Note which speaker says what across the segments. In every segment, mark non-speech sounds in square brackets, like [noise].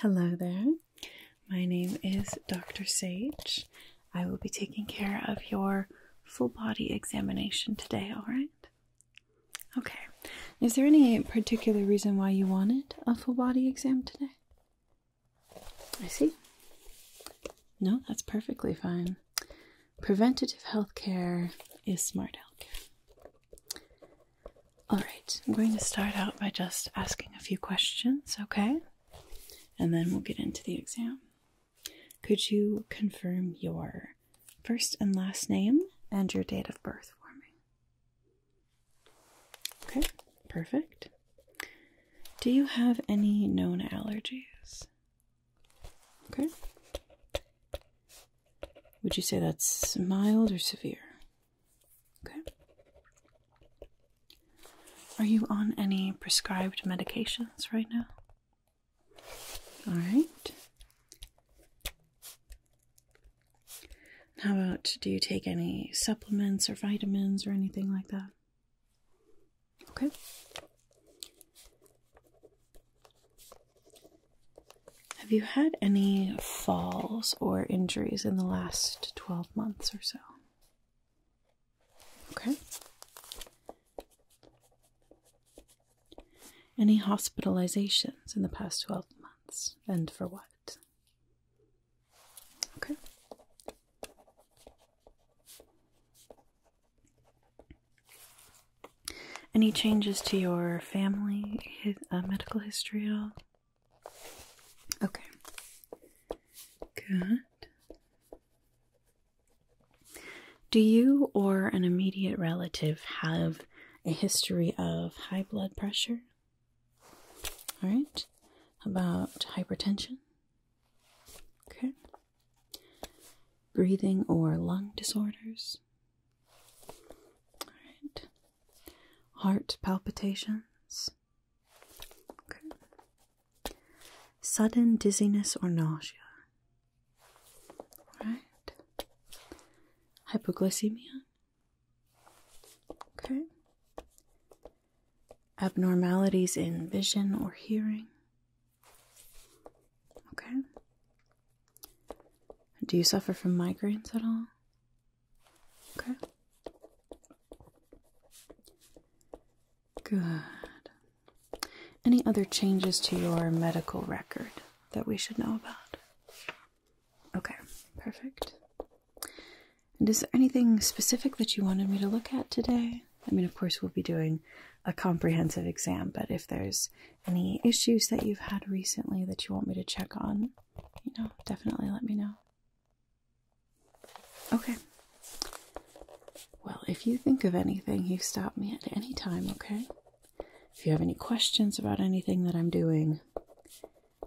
Speaker 1: Hello there. My name is Dr. Sage. I will be taking care of your full body examination today, alright? Okay. Is there any particular reason why you wanted a full body exam today? I see. No, that's perfectly fine preventative health care is smart healthcare. All right, I'm going to start out by just asking a few questions, okay? And then we'll get into the exam. Could you confirm your first and last name and your date of birth for me? Okay, perfect. Do you have any known allergies? Okay. Would you say that's mild or severe? Okay. Are you on any prescribed medications right now? All right. How about do you take any supplements or vitamins or anything like that? Okay. Have you had any falls or injuries in the last 12 months or so? Okay. Any hospitalizations in the past 12 months, and for what? Okay. Any changes to your family uh, medical history at all? Okay. Good. Do you or an immediate relative have a history of high blood pressure? All right. About hypertension? Okay breathing or lung disorders. All right. Heart palpitations. Okay. Sudden dizziness or nausea. All right. Hypoglycemia. Okay. Abnormalities in vision or hearing. Okay. Do you suffer from migraines at all? Okay. Good. Any other changes to your medical record that we should know about? Okay, perfect. And is there anything specific that you wanted me to look at today? I mean, of course, we'll be doing a comprehensive exam, but if there's any issues that you've had recently that you want me to check on, you know, definitely let me know. Okay. Well, if you think of anything, you stop me at any time, okay? If you have any questions about anything that I'm doing,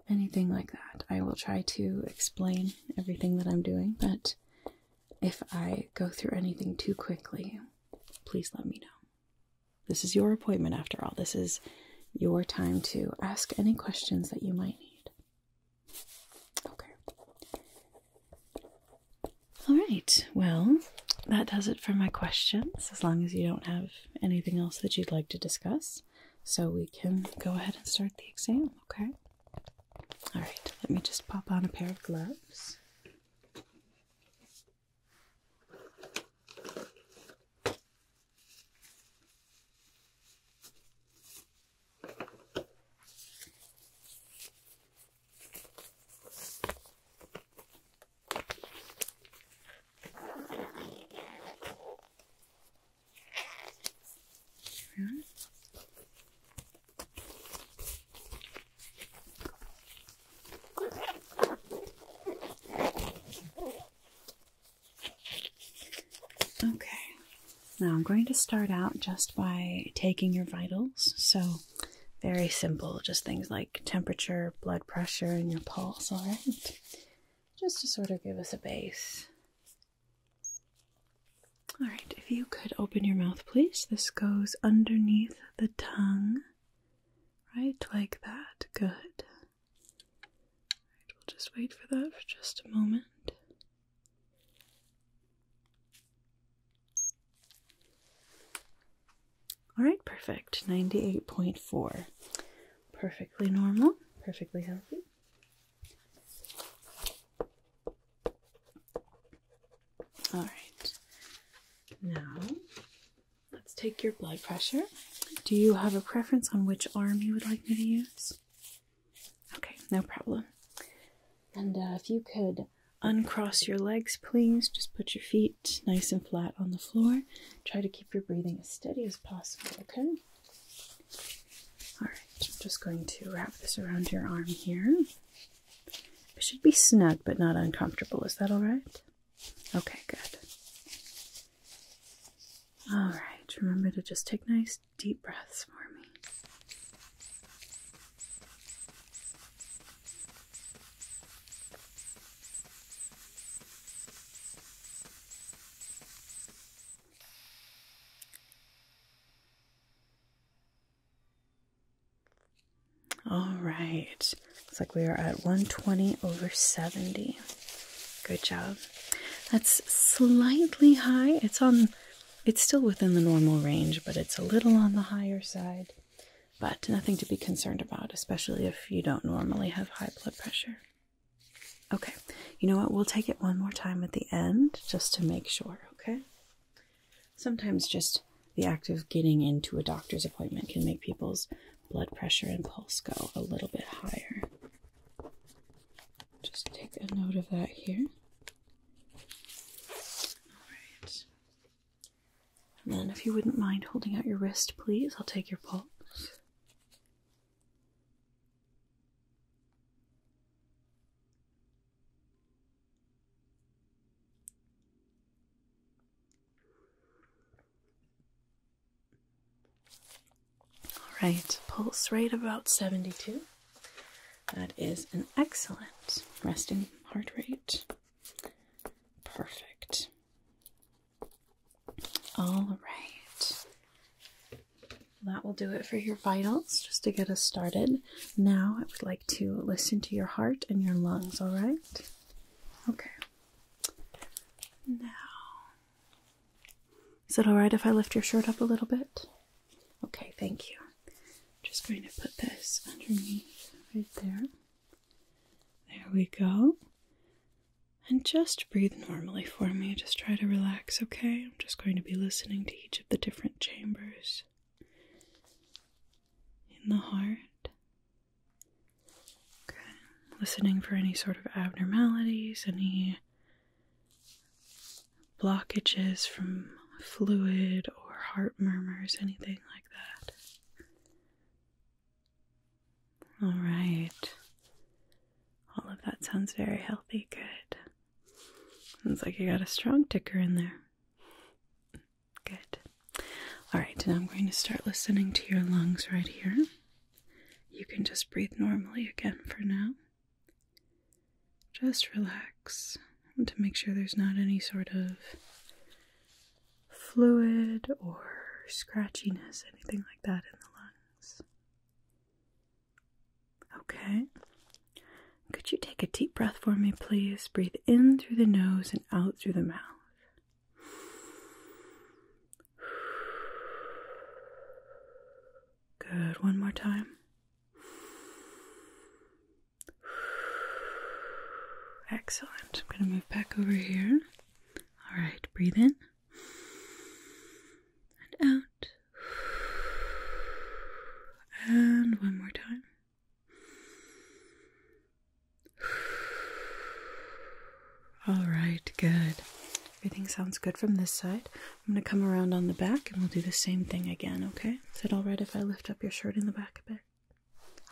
Speaker 1: anything like that, I will try to explain everything that I'm doing, but if I go through anything too quickly, please let me know. This is your appointment after all. This is your time to ask any questions that you might need. Okay. All right. Well, that does it for my questions, as long as you don't have anything else that you'd like to discuss. So we can go ahead and start the exam, okay? All right. Let me just pop on a pair of gloves. Spoon. Okay, now I'm going to start out just by taking your vitals. So, very simple, just things like temperature, blood pressure, and your pulse, alright? Just to sort of give us a base. Alright, if you could open your mouth, please. This goes underneath the tongue Right, like that. Good. Right, we'll just wait for that for just a moment. Alright, perfect. 98.4. Perfectly normal, perfectly healthy. All right. Now, let's take your blood pressure. Do you have a preference on which arm you would like me to use? Okay, no problem. And uh, if you could uncross your legs, please, just put your feet nice and flat on the floor. Try to keep your breathing as steady as possible, okay? All right, I'm just going to wrap this around your arm here. It should be snug but not uncomfortable. Is that all right? Okay, good. All right, remember to just take nice deep breaths for me. All right. Looks like we are at 120 over 70. Good job. That's slightly high. It's on it's still within the normal range, but it's a little on the higher side. But nothing to be concerned about, especially if you don't normally have high blood pressure. Okay. You know what? We'll take it one more time at the end just to make sure, okay? Sometimes just the act of getting into a doctor's appointment can make people's blood pressure and pulse go a little bit higher. Just take a note of that here. All right. And then, if you wouldn't mind holding out your wrist, please, I'll take your pulse. All right, pulse rate about 72. That is an excellent resting heart rate. Perfect. All right. That will do it for your vitals, just to get us started. Now I would like to listen to your heart and your lungs, all right? Okay. Now, is it alright if I lift your shirt up a little bit? Okay, thank you. Just going to put this underneath right there. There we go. And just breathe normally for me. Just try to relax, okay? I'm just going to be listening to each of the different chambers in the heart, Okay, listening for any sort of abnormalities, any blockages from fluid or heart murmurs, anything like that. All right. All of that sounds very healthy. Good. Sounds like you got a strong ticker in there. Good. All right, now I'm going to start listening to your lungs right here. You can just breathe normally again for now. Just relax to make sure there's not any sort of fluid or scratchiness, anything like that in the lungs. Okay. Could you take a deep breath for me, please? Breathe in through the nose and out through the mouth. Good. One more time. Excellent. I'm going to move back over here. All right, breathe in and out. And one more time. All right, good. Everything sounds good from this side. I'm going to come around on the back and we'll do the same thing again, okay? Is it all right if I lift up your shirt in the back a bit?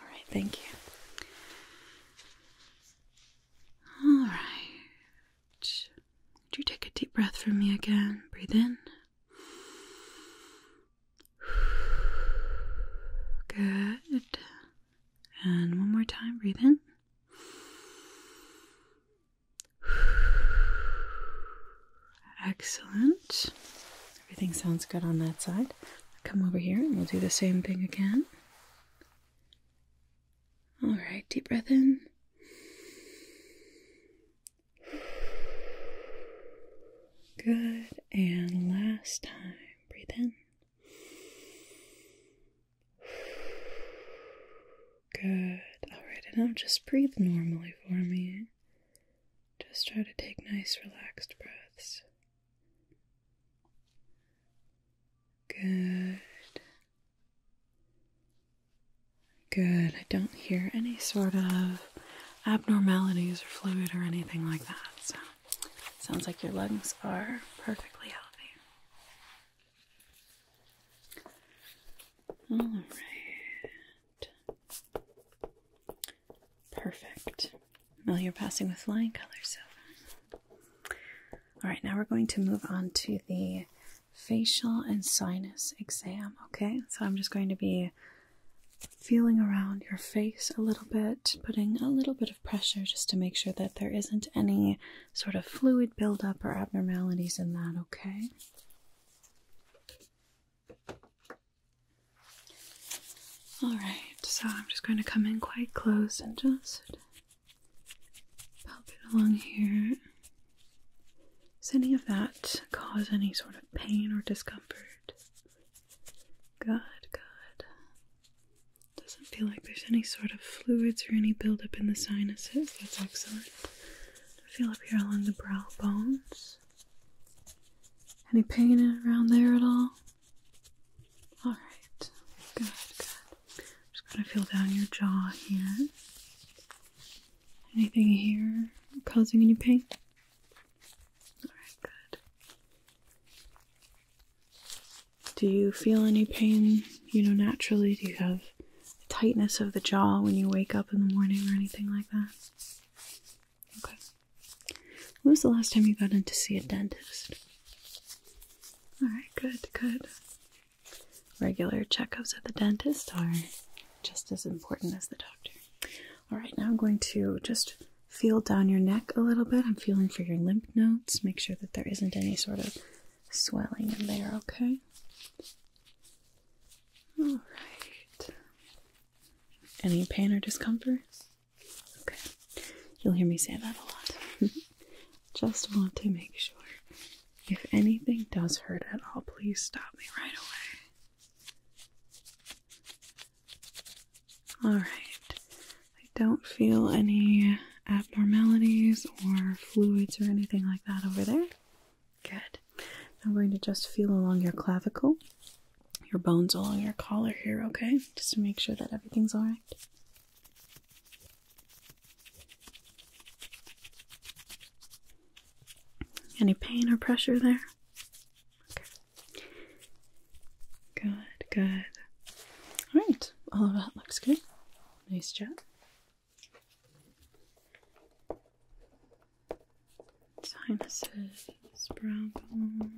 Speaker 1: All right, thank you. All right. Would you take a deep breath from me again? Breathe in. Good. And one more time, breathe in. Excellent. Everything sounds good on that side. Come over here and we'll do the same thing again. All right, deep breath in. Good. And last time. Breathe in. Good. Alright, and now just breathe normally for me. Just try to take nice, relaxed breaths. Good. Good. I don't hear any sort of abnormalities or fluid or anything like that. So Sounds like your lungs are perfectly healthy. All right. Perfect. Well, you're passing with flying colors All right, now we're going to move on to the facial and sinus exam, okay? So I'm just going to be feeling around your face a little bit, putting a little bit of pressure just to make sure that there isn't any sort of fluid buildup or abnormalities in that, okay? Alright, so I'm just going to come in quite close and just pop it along here. Does any of that cause any sort of pain or discomfort? Good, good. Doesn't feel like there's any sort of fluids or any buildup in the sinuses. That's excellent. Feel up here along the brow bones. Any pain around there at all? Alright. Good, good. Just gonna feel down your jaw here. Anything here causing any pain? Alright, good. Do you feel any pain, you know, naturally? Do you have tightness of the jaw when you wake up in the morning or anything like that? Okay. When was the last time you got in to see a dentist? Alright, good, good. Regular checkups at the dentist are just as important as the doctor. Alright, now I'm going to just feel down your neck a little bit. I'm feeling for your lymph nodes. Make sure that there isn't any sort of swelling in there, okay? All right. Any pain or discomfort? Okay. You'll hear me say that a lot. [laughs] Just want to make sure. If anything does hurt at all, please stop me right away. Alright. I don't feel any abnormalities or fluids or anything like that over there. Good. I'm going to just feel along your clavicle, your bones along your collar here, okay? Just to make sure that everything's alright. Any pain or pressure there? Good, good. All right, all of that looks good. Nice job. Sinuses, brow bone.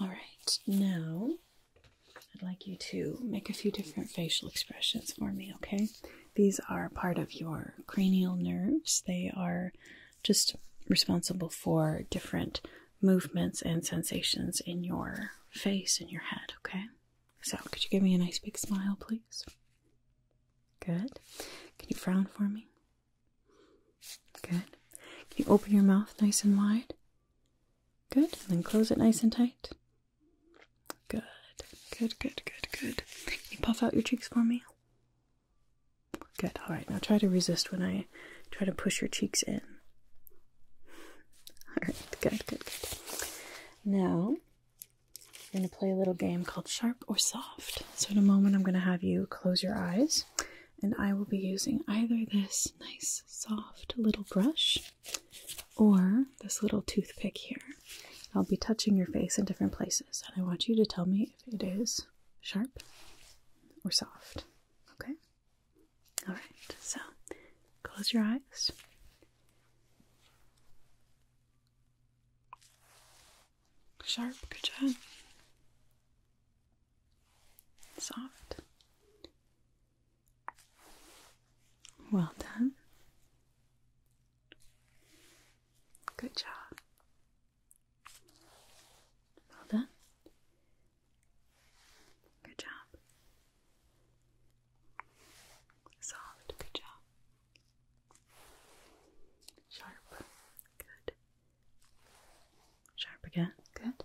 Speaker 1: All right, now I'd like you to make a few different facial expressions for me, okay? These are part of your cranial nerves. They are just responsible for different movements and sensations in your face and your head, okay? So, could you give me a nice big smile, please? Good. Can you frown for me? Good. Can you open your mouth nice and wide? Good. And then close it nice and tight. Good. Good, good, good, good. Can you puff out your cheeks for me? Good. All right. Now try to resist when I try to push your cheeks in. All right. Good, good, good. Now, we're going to play a little game called Sharp or Soft. So, in a moment, I'm going to have you close your eyes, and I will be using either this nice, soft little brush or this little toothpick here. I'll be touching your face in different places, and I want you to tell me if it is sharp or soft. Okay? Alright, so close your eyes. Sharp, good job. Soft. Well done. Good job. Well done. Good job. Soft. Good job. Sharp. Good. Sharp again. Good.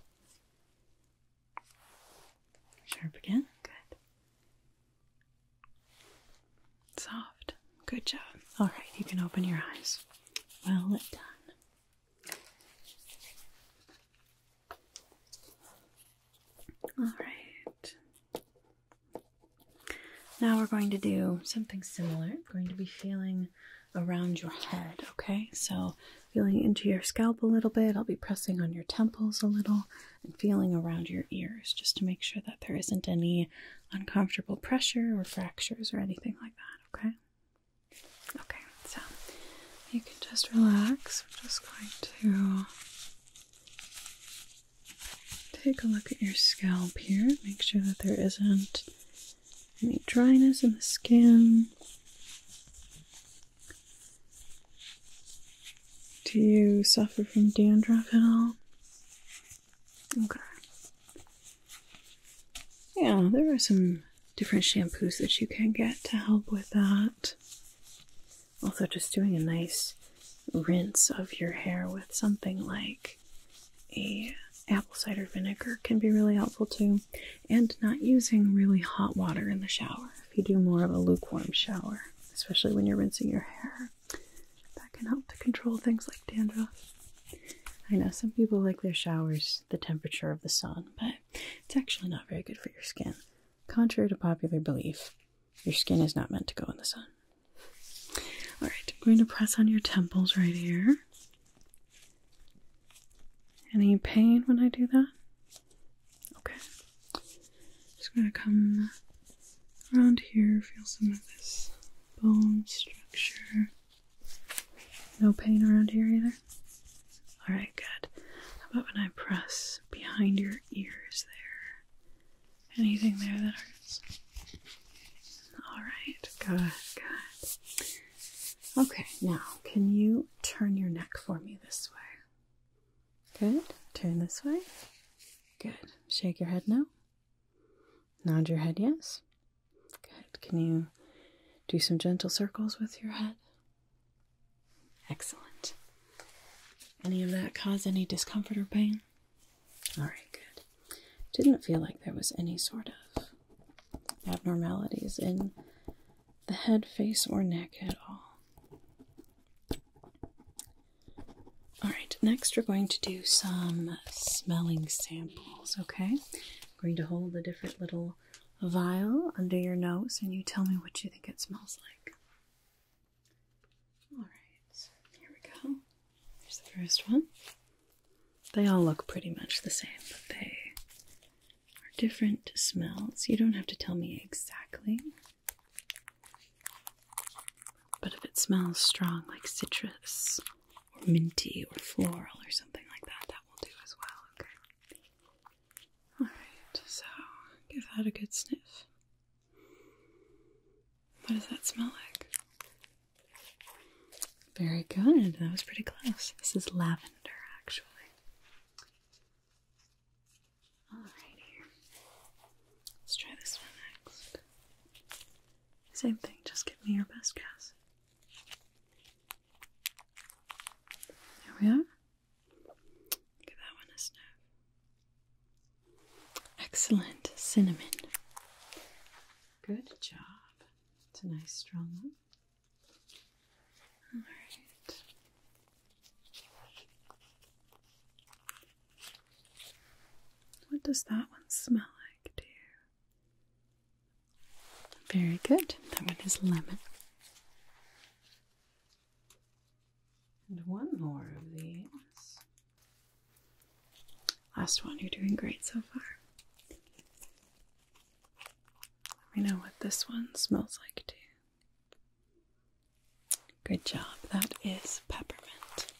Speaker 1: Sharp again. Good. Soft. Good job. All right, you can open your eyes. Well done. All right. Now we're going to do something similar. I'm going to be feeling around your head, okay? So, feeling into your scalp a little bit. I'll be pressing on your temples a little and feeling around your ears just to make sure that there isn't any uncomfortable pressure or fractures or anything like that, okay? Okay, so you can just relax. We're just going to take a look at your scalp here. Make sure that there isn't any dryness in the skin. Do you suffer from dandruff at all? Okay. Yeah, there are some different shampoos that you can get to help with that. Also, just doing a nice rinse of your hair with something like a apple cider vinegar can be really helpful too. And not using really hot water in the shower if you do more of a lukewarm shower, especially when you're rinsing your hair. That can help to control things like dandruff. I know some people like their showers the temperature of the sun, but it's actually not very good for your skin. Contrary to popular belief, your skin is not meant to go in the sun. All right, I'm going to press on your temples right here. Any pain when I do that? Okay. Just going to come around here, feel some of this bone structure. No pain around here either? Alright, good. How about when I press behind your ears there? Anything there that hurts? Alright, good, good. Okay, now can you turn your neck for me this way? Good. Turn this way. Good. Shake your head now. Nod your head yes. Good. Can you do some gentle circles with your head? Excellent. Any of that cause any discomfort or pain? All right, good. Didn't feel like there was any sort of abnormalities in the head, face, or neck at all. All right, next we're going to do some smelling samples, okay? I'm going to hold a different little vial under your nose and you tell me what you think it smells like. Alright, here we go. Here's the first one. They all look pretty much the same, but they are different smells. You don't have to tell me exactly. But if it smells strong like citrus or minty or floral or something like that. That will do as well, okay? Alright, so give that a good sniff. What does that smell like? Very good. That was pretty close. This is lavender, actually. Alrighty. Let's try this one next. Same thing, just give me your best guess. There we are. Give that one a sniff. Excellent cinnamon. Good job. It's a nice strong one. All right. What does that one smell like dear? Very good. That one is lemon. And one more of these. Last one, you're doing great so far. Let me know what this one smells like too. Good job. That is peppermint.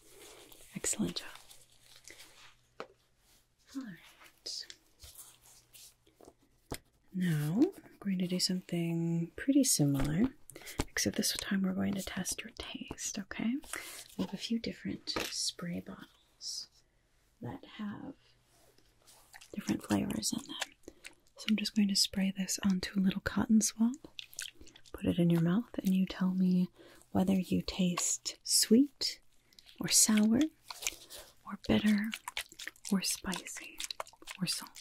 Speaker 1: Excellent job. Now, I'm going to do something pretty similar, except this time we're going to test your taste, okay? We have a few different spray bottles that have different flavors in them. So I'm just going to spray this onto a little cotton swab, put it in your mouth, and you tell me whether you taste sweet, or sour or bitter or spicy or salty.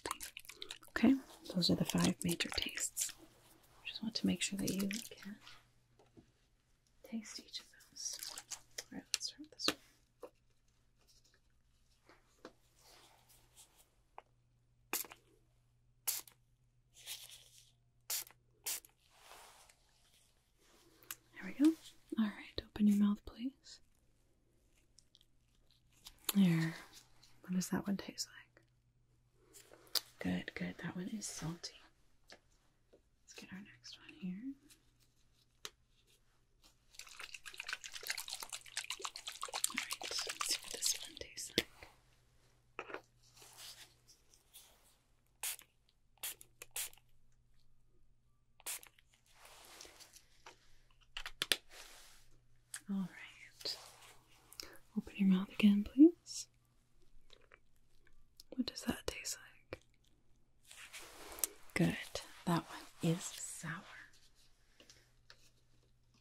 Speaker 1: Okay, those are the five major tastes. I just want to make sure that you can taste each of those. Alright, let's start this one. There we go. Alright, open your mouth, please. There. What does that one taste like? Good, good. That one is salty. Let's get our next one here. Alright, let's see what this one tastes like. All right. Open your mouth again, please. What does that taste like? Good. That one is sour.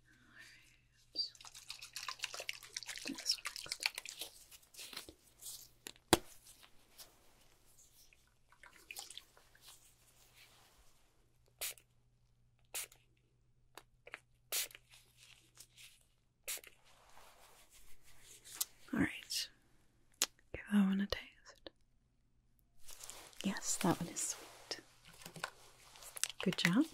Speaker 1: All right. All right, give that one a taste. Yes, that one is sweet. Good job.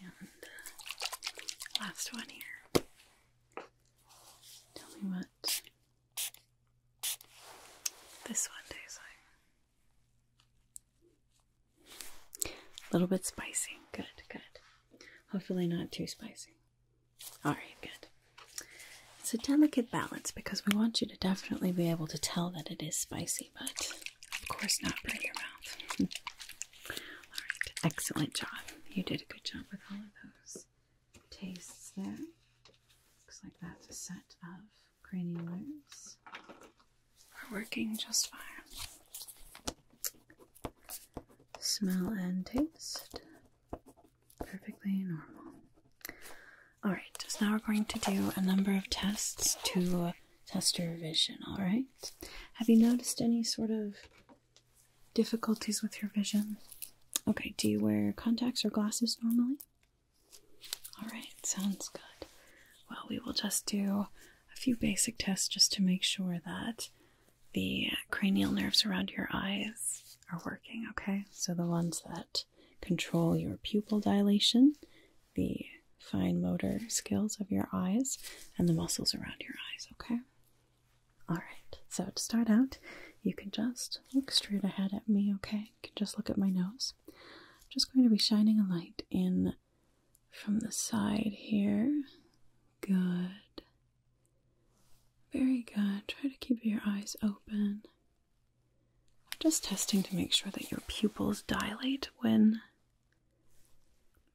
Speaker 1: And uh, last one here. Tell me what this one tastes like. A little bit spicy. Good, good. Hopefully, not too spicy. Alright, good. It's a delicate balance because we want you to definitely be able to tell that it is spicy but of course not burn your mouth. Alright, [laughs] excellent job. You did a good job with all of those tastes there. Looks like that's a set of granulars. We're working just fine. Smell and taste. Perfectly normal. Alright, just now we're going to do a number of tests to test your vision, all right? Have you noticed any sort of difficulties with your vision? Okay, do you wear contacts or glasses normally? All right, sounds good. Well, we will just do a few basic tests just to make sure that the cranial nerves around your eyes are working, okay? So the ones that control your pupil dilation, the fine motor skills of your eyes and the muscles around your eyes, okay? Alright, so to start out, you can just look straight ahead at me, okay? can just look at my nose. just going to be shining a light in from the side here. Good. Very good. Try to keep your eyes open. just testing to make sure that your pupils dilate when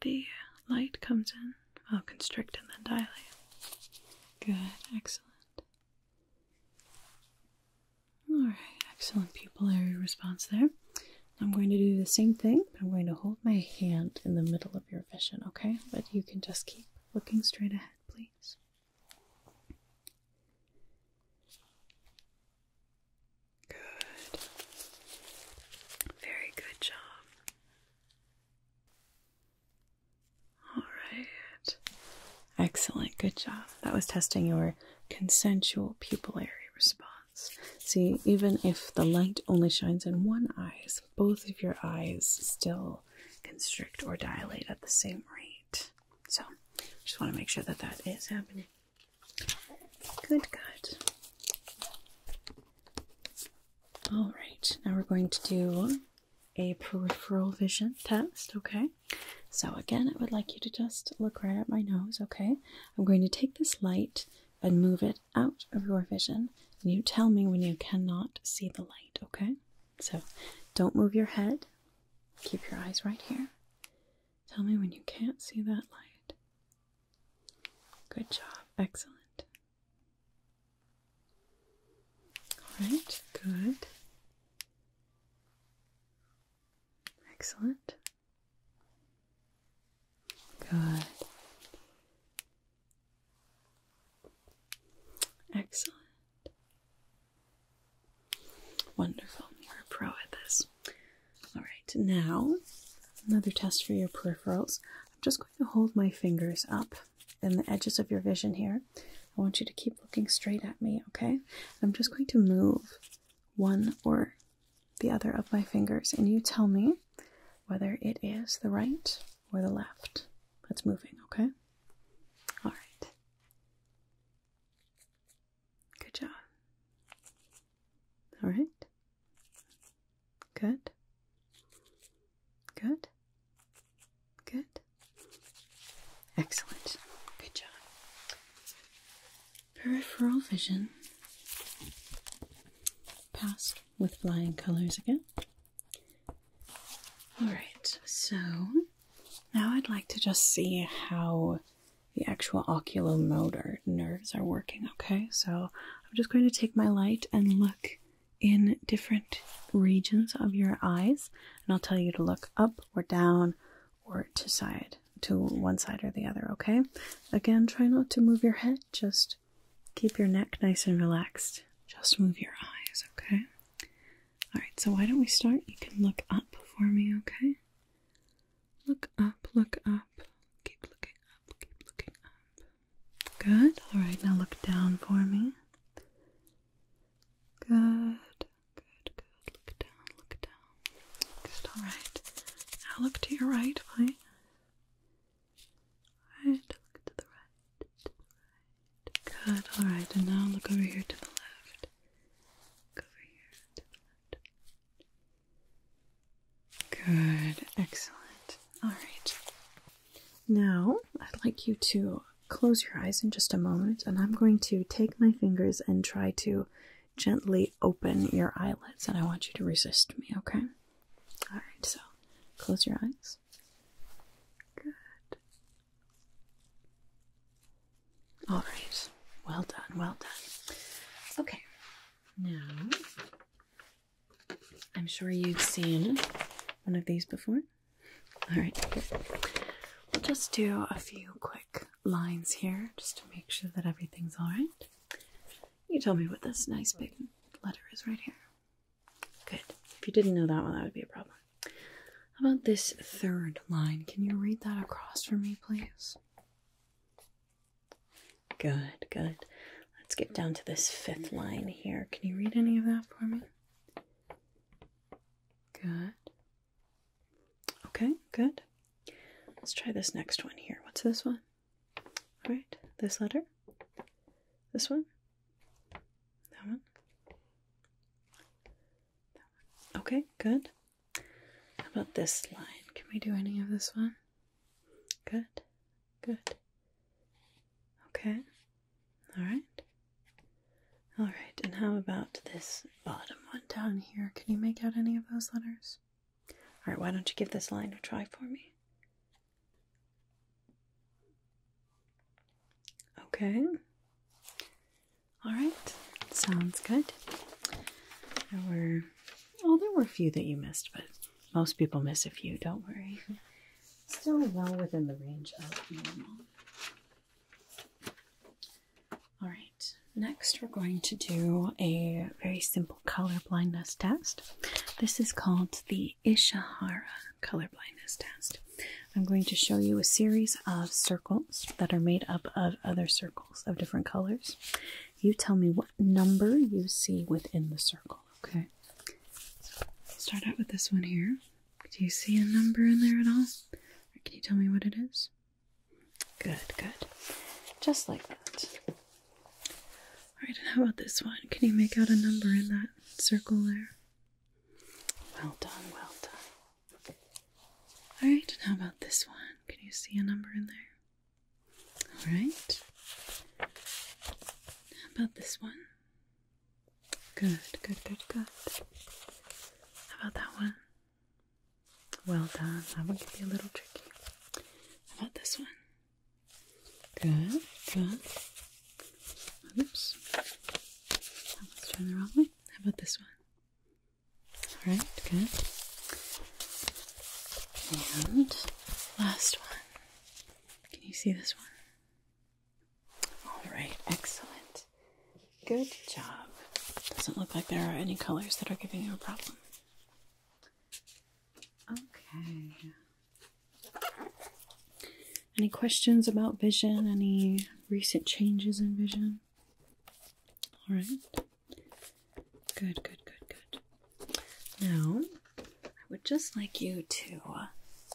Speaker 1: the light comes in. I'll constrict and then dilate. Good, excellent. Alright, excellent pupillary response there. I'm going to do the same thing, I'm going to hold my hand in the middle of your vision, okay? But you can just keep looking straight ahead, please. Good. Very good job. All right. Excellent. Good job. That was testing your consensual pupillary response. See, even if the light only shines in one eye, both of your eyes still constrict or dilate at the same rate. So, just want to make sure that that is happening. Good, God! All right, now we're going to do a peripheral vision test, okay? So, again, I would like you to just look right at my nose, okay? I'm going to take this light and move it out of your vision, and you tell me when you cannot see the light, okay? So, don't move your head, keep your eyes right here. Tell me when you can't see that light. Good job. Excellent. All right, good. Excellent. Good. Excellent. Wonderful. You're a pro at this. All right, now another test for your peripherals. I'm just going to hold my fingers up in the edges of your vision here. I want you to keep looking straight at me, okay? I'm just going to move one or the other of my fingers, and you tell me whether it is the right or the left that's moving, okay? All right. Good job. All right. Good. Good. Good. Excellent. Good job. Peripheral vision. Passed with flying colors again. All right. So now I'd like to just see how the actual oculomotor nerves are working. Okay, so I'm just going to take my light and look in different regions of your eyes, and I'll tell you to look up or down or to side to one side or the other, okay? Again, try not to move your head, just keep your neck nice and relaxed. Just move your eyes, okay? Alright, so why don't we start? You can look up for me, okay? Look up, look up, keep looking up, keep looking up. Good. All right, now look down for me. Good. Good, good. Look down, look down. Good, all right. Now look to your right, please. Right, to the right, to the right. Good, all right. And now look over here to the left. Look over here to the left. Good, excellent. All right. Now, I'd like you to close your eyes in just a moment, and I'm going to take my fingers and try to gently open your eyelids, and I want you to resist me, okay? All right, so close your eyes. Good. All right. Well done, well done. Okay. Now, I'm sure you've seen one of these before. All right, here. we'll just do a few quick lines here just to make sure that everything's all right. You tell me what this nice big letter is right here. Good. If you didn't know that one, that would be a problem. How about this third line? Can you read that across for me, please? Good, good. Let's get down to this fifth line here. Can you read any of that for me? Good. Okay, good. Let's try this next one here. What's this one? All right, this letter. This one. That one. That one. Okay, good. How about this line? Can we do any of this one? Good. Good. Okay. All right. All right. And how about this bottom one down here? Can you make out any of those letters? All right. Why don't you give this line a try for me? Okay. All right. Sounds good. There were, oh, there were a few that you missed, but most people miss a few, don't worry. Still well within the range of normal. All right, next we're going to do a very simple color blindness test. This is called the Ishihara color blindness test. I'm going to show you a series of circles that are made up of other circles of different colors. You tell me what number you see within the circle. Okay. start out with this one here. Do you see a number in there at all? can you tell me what it is? Good, good. Just like that. Alright, and how about this one? Can you make out a number in that circle there? Well done, well done. Alright, and how about this one? Can you see a number in there? All right. How about this one? Good, good, good, good. How about that one? Well done. That one could be a little tricky. How about this one? Good, good. Oops. Let's turned the wrong way. How about this one? Alright, good. And last one. Can you see this one? All right, excellent. Good job. Doesn't look like there are any colors that are giving you a problem. Okay. Any questions about vision? Any recent changes in vision? All right. Good, good, good, good. Now, I would just like you to uh,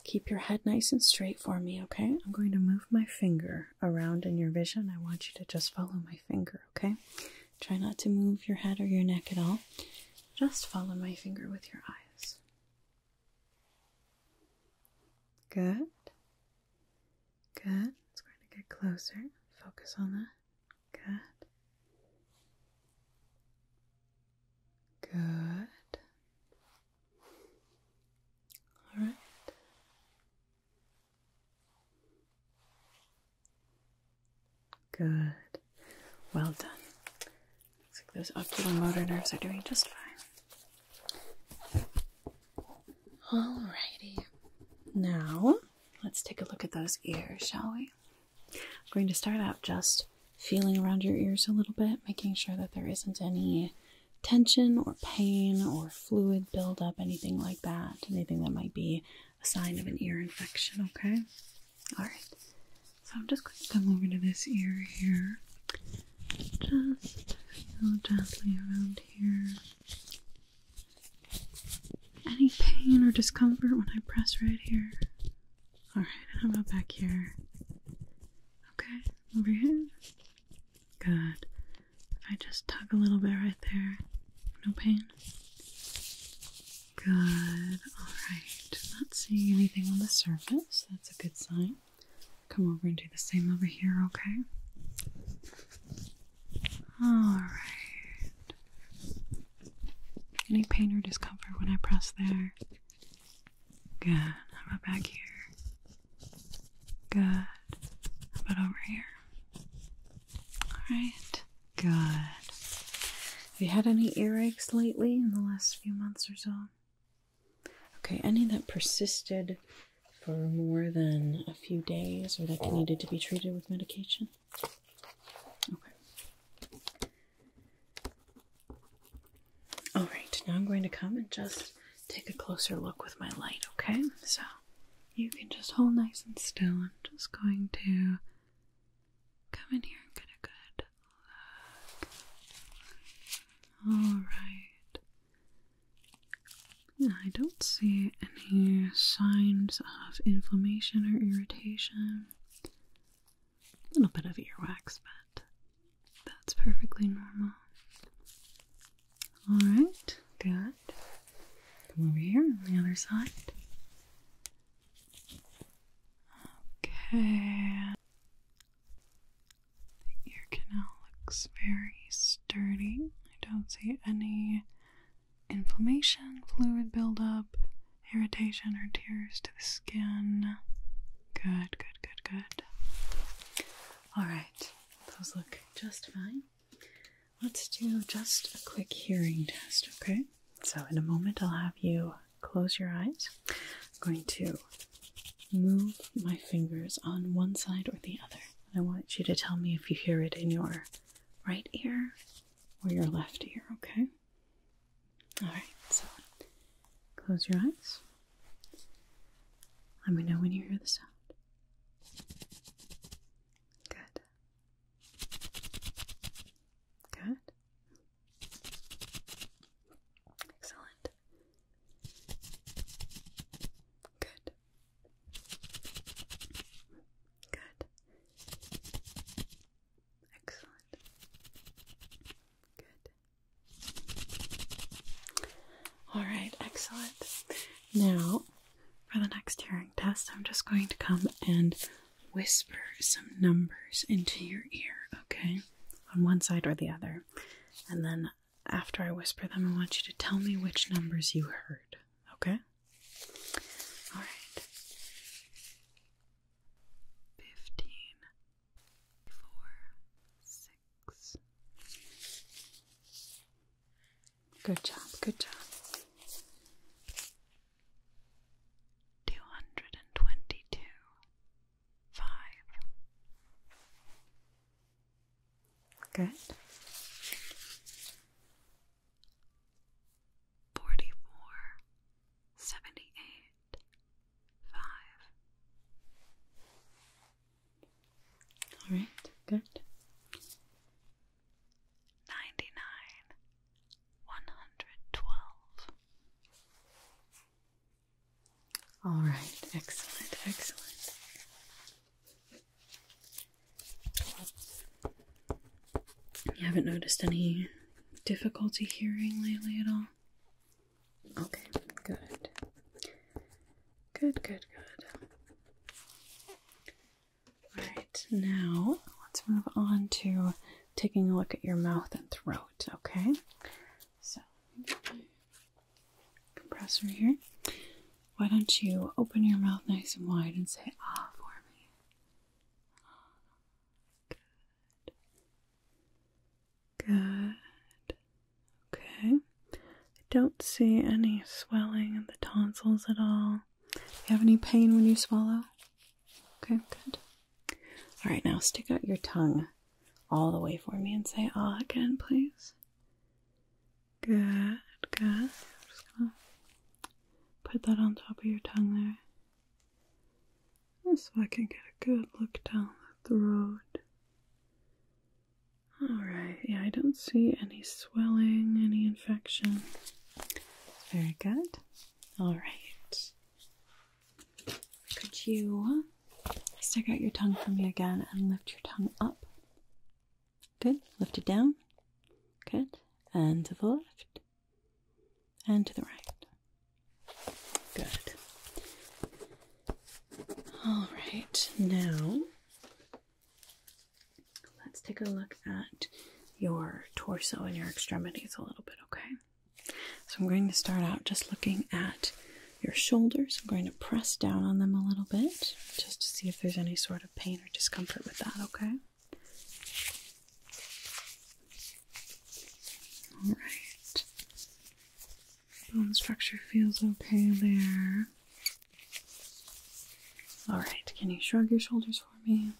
Speaker 1: keep your head nice and straight for me, okay? I'm going to move my finger around in your vision. I want you to just follow my finger, okay? Try not to move your head or your neck at all. Just follow my finger with your eyes. Good. Good. It's going to get closer. Focus on that. Good. Good. All right. Good. Well done. Looks like those oculomotor nerves are doing just fine. Alrighty. Now, let's take a look at those ears, shall we? I'm going to start out just feeling around your ears a little bit, making sure that there isn't any tension or pain or fluid buildup, anything like that, anything that might be a sign of an ear infection, okay? Alright, so I'm just going to come over to this ear here. Just feel gently around here. Any pain or discomfort when I press right here? Alright, how about back here? Okay, over here? Good. If I just tug a little bit right there, no pain? Good. Alright, not seeing anything on the surface. That's a good sign. Come over and do the same over here, okay? Alright. Any pain or discomfort when I press there? Good. How about back here? Good. How about over here? Alright. Good. Have you had any earaches lately in the last few months or so? Okay, any that persisted for more than a few days or that needed to be treated with medication? All right, now I'm going to come and just take a closer look with my light, okay? So you can just hold nice and still. I'm just going to come in here and get a good look. All right. I don't see any signs of inflammation or irritation a little bit of earwax, but that's perfectly normal. All right, good. Come over here on the other side. Okay. The ear canal looks very sturdy. I don't see any inflammation, fluid buildup, irritation or tears to the skin. Good, good, good, good. All right, those look just fine. Let's do just a quick hearing test, okay? So, in a moment, I'll have you close your eyes. I'm going to move my fingers on one side or the other. I want you to tell me if you hear it in your right ear or your left ear, okay? Alright, so close your eyes. Let me know when you hear the sound. Good. Good. Excellent. Good. Good. Excellent. Good. All right, excellent. Now, for the next hearing test, I'm just going to come and whisper some numbers into your ear, okay? On one side or the other. And then after I whisper them, I want you to tell me which numbers you heard, okay? All right fifteen, four, six. Good job, good job. Two hundred and twenty two, five. Good. Forty four, seventy eight five. All right, good. Ninety nine, one hundred twelve. All right, excellent, excellent. You haven't noticed any difficulty hearing lately at all? Okay, good. Good, good, good. Alright, now let's move on to taking a look at your mouth and throat, okay? So, compressor here. Why don't you open your mouth nice and wide and say ah for me? Ah, good. Good. Okay. I don't see any swelling in the tonsils at all. Do you have any pain when you swallow? Okay, good. All right, now stick out your tongue all the way for me and say ah again, please. Good, good. I'm just gonna put that on top of your tongue there so I can get a good look down the road. Alright, yeah, I don't see any swelling, any infection. Very good. Alright. Could you stick out your tongue for me again and lift your tongue up? Good. Lift it down. Good. And to the left and to the right. Good. All right, now let's take a look at your torso and your extremities a little bit, okay? So I'm going to start out just looking at your shoulders. I'm going to press down on them a little bit just to see if there's any sort of pain or discomfort with that, okay? All right. Bone structure feels okay there. All right. Can you shrug your shoulders for me?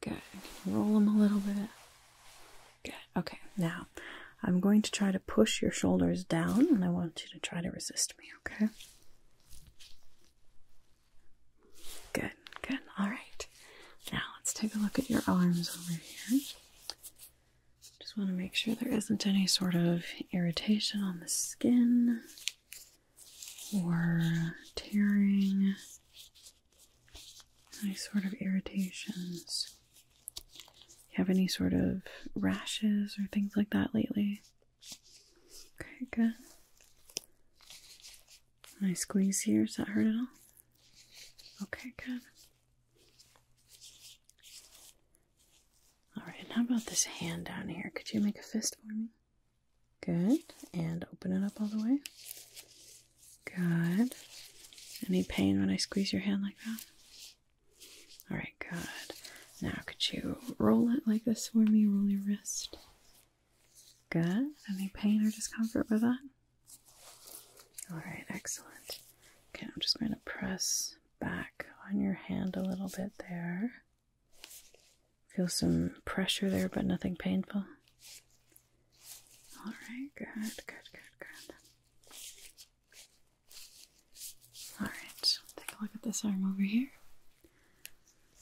Speaker 1: Good. Roll them a little bit. Good. Okay. Now, I'm going to try to push your shoulders down, and I want you to try to resist me. Okay. Good. Good. All right. Now let's take a look at your arms over here. Just want to make sure there isn't any sort of irritation on the skin or tearing, any sort of irritations. have any sort of rashes or things like that lately? Okay, good. Nice squeeze here, does that hurt at all? Okay, good. Alright, and how about this hand down here? Could you make a fist for me? Good. And open it up all the way. Good. Any pain when I squeeze your hand like that? Alright, good. Now, could you roll it like this for me? Roll your wrist. Good. Any pain or discomfort with that? All right, excellent. Okay, I'm just going to press back on your hand a little bit there. Feel some pressure there, but nothing painful. All right, good, good, good, good. All right, take a look at this arm over here.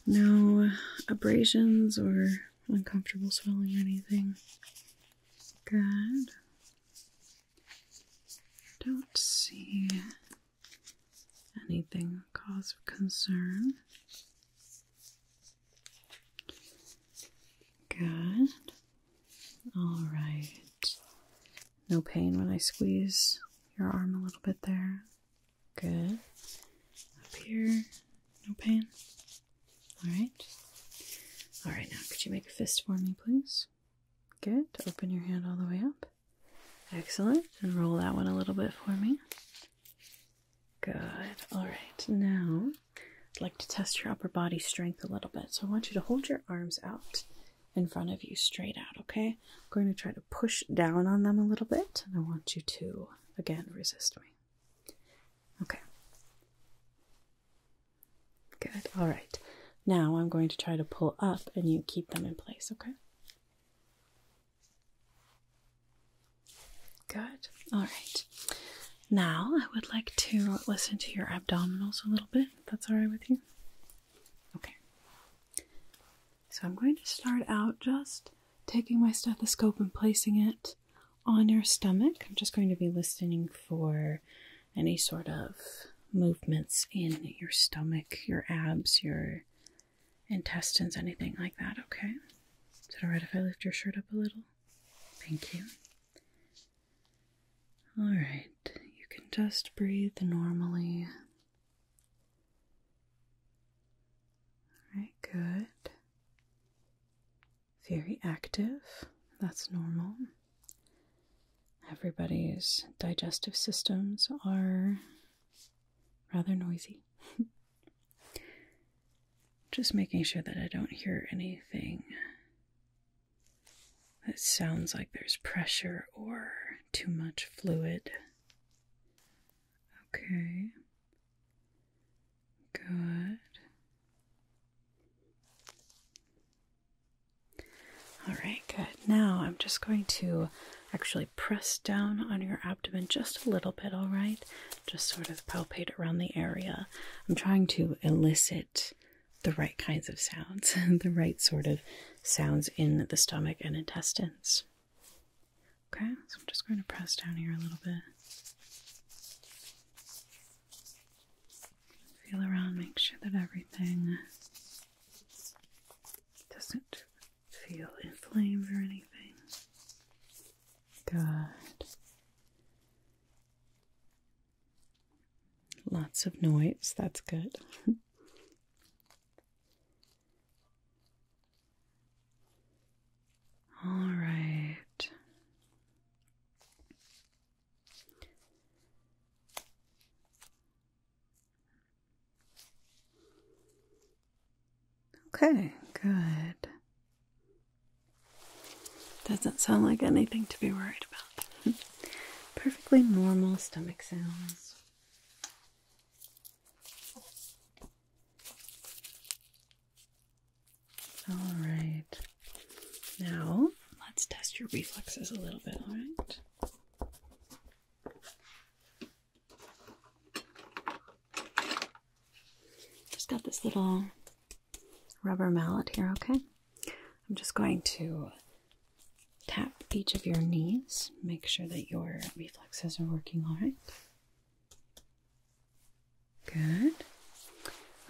Speaker 1: No abrasions or uncomfortable swelling or anything. Good. Don't see anything cause of concern. Good. All right. No pain when I squeeze your arm a little bit there. Good. Up here. No pain. All right. All right, now could you make a fist for me, please? Good. Open your hand all the way up. Excellent. And roll that one a little bit for me. Good. All right. Now, I'd like to test your upper body strength a little bit. So I want you to hold your arms out in front of you straight out, okay? I'm going to try to push down on them a little bit, and I want you to, again, resist me. Okay. Good. All right. Now I'm going to try to pull up and you keep them in place, okay? Good. All right. Now I would like to listen to your abdominals a little bit, that's all right with you. Okay. So I'm going to start out just taking my stethoscope and placing it on your stomach. I'm just going to be listening for any sort of movements in your stomach, your abs, your intestines, anything like that, okay? Is it alright if I lift your shirt up a little? Thank you. Alright, you can just breathe normally. Alright, good very active. That's normal. Everybody's digestive systems are rather noisy. [laughs] Just making sure that I don't hear anything that sounds like there's pressure or too much fluid. Okay. Good. All right, good. Now I'm just going to actually press down on your abdomen just a little bit, all right? Just sort of palpate around the area. I'm trying to elicit the right kinds of sounds, [laughs] the right sort of sounds in the stomach and intestines. Okay, so I'm just going to press down here a little bit. Feel around, make sure that everything doesn't feel inflamed or anything. Good. Lots of noise, that's good. [laughs] All right. Okay, good. Doesn't sound like anything to be worried about. [laughs] Perfectly normal stomach sounds. All right. Now, let's test your reflexes a little bit, all right? Just got this little rubber mallet here, okay? I'm just going to tap each of your knees, make sure that your reflexes are working all right. Good.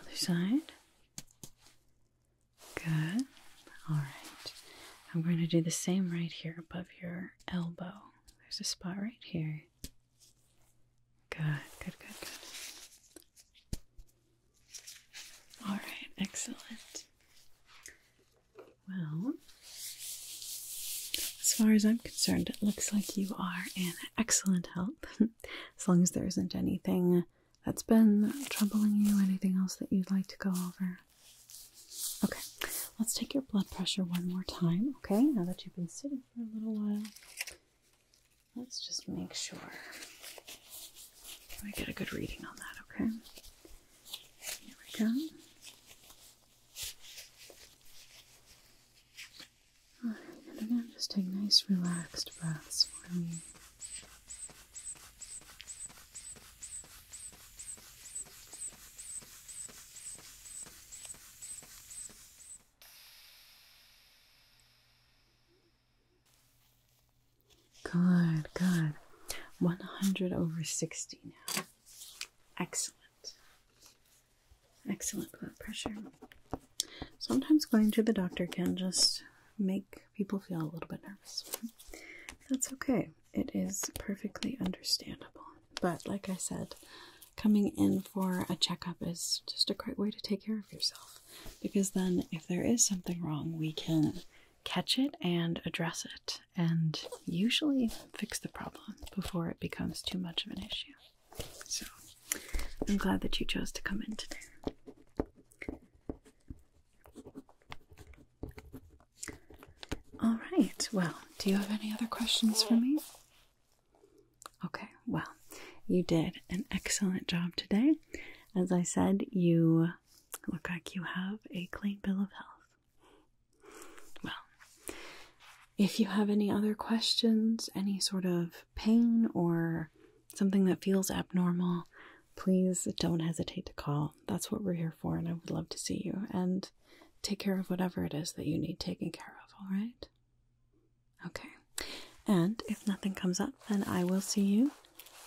Speaker 1: Other side. Good. All right. I'm going to do the same right here above your elbow. There's a spot right here. Good, good, good, good. All right, excellent. Well, as far as I'm concerned, it looks like you are in excellent health. [laughs] as long as there isn't anything that's been troubling you, anything else that you'd like to go over. Okay, let's take your blood pressure one more time, okay? Now that you've been sitting for a little while, let's just make sure I get a good reading on that, okay? Here we go. Alright, and again, just take nice relaxed breaths for me. Good, good. 100 over 60 now. Excellent excellent blood pressure. Sometimes going to the doctor can just make people feel a little bit nervous. That's okay. It is perfectly understandable. But like I said, coming in for a checkup is just a great way to take care of yourself because then if there is something wrong, we can catch it and address it and usually fix the problem before it becomes too much of an issue. So I'm glad that you chose to come in today. All right. Well, do you have any other questions for me? Okay. Well, you did an excellent job today. As I said, you look like you have a clean bill of health. Well, if you have any other questions, any sort of pain or something that feels abnormal, please don't hesitate to call. That's what we're here for, and I would love to see you. And take care of whatever it is that you need taken care of, all right? Okay. And if nothing comes up, then I will see you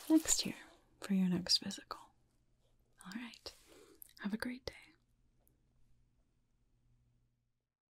Speaker 1: next year for your next physical. All right. Have a great day.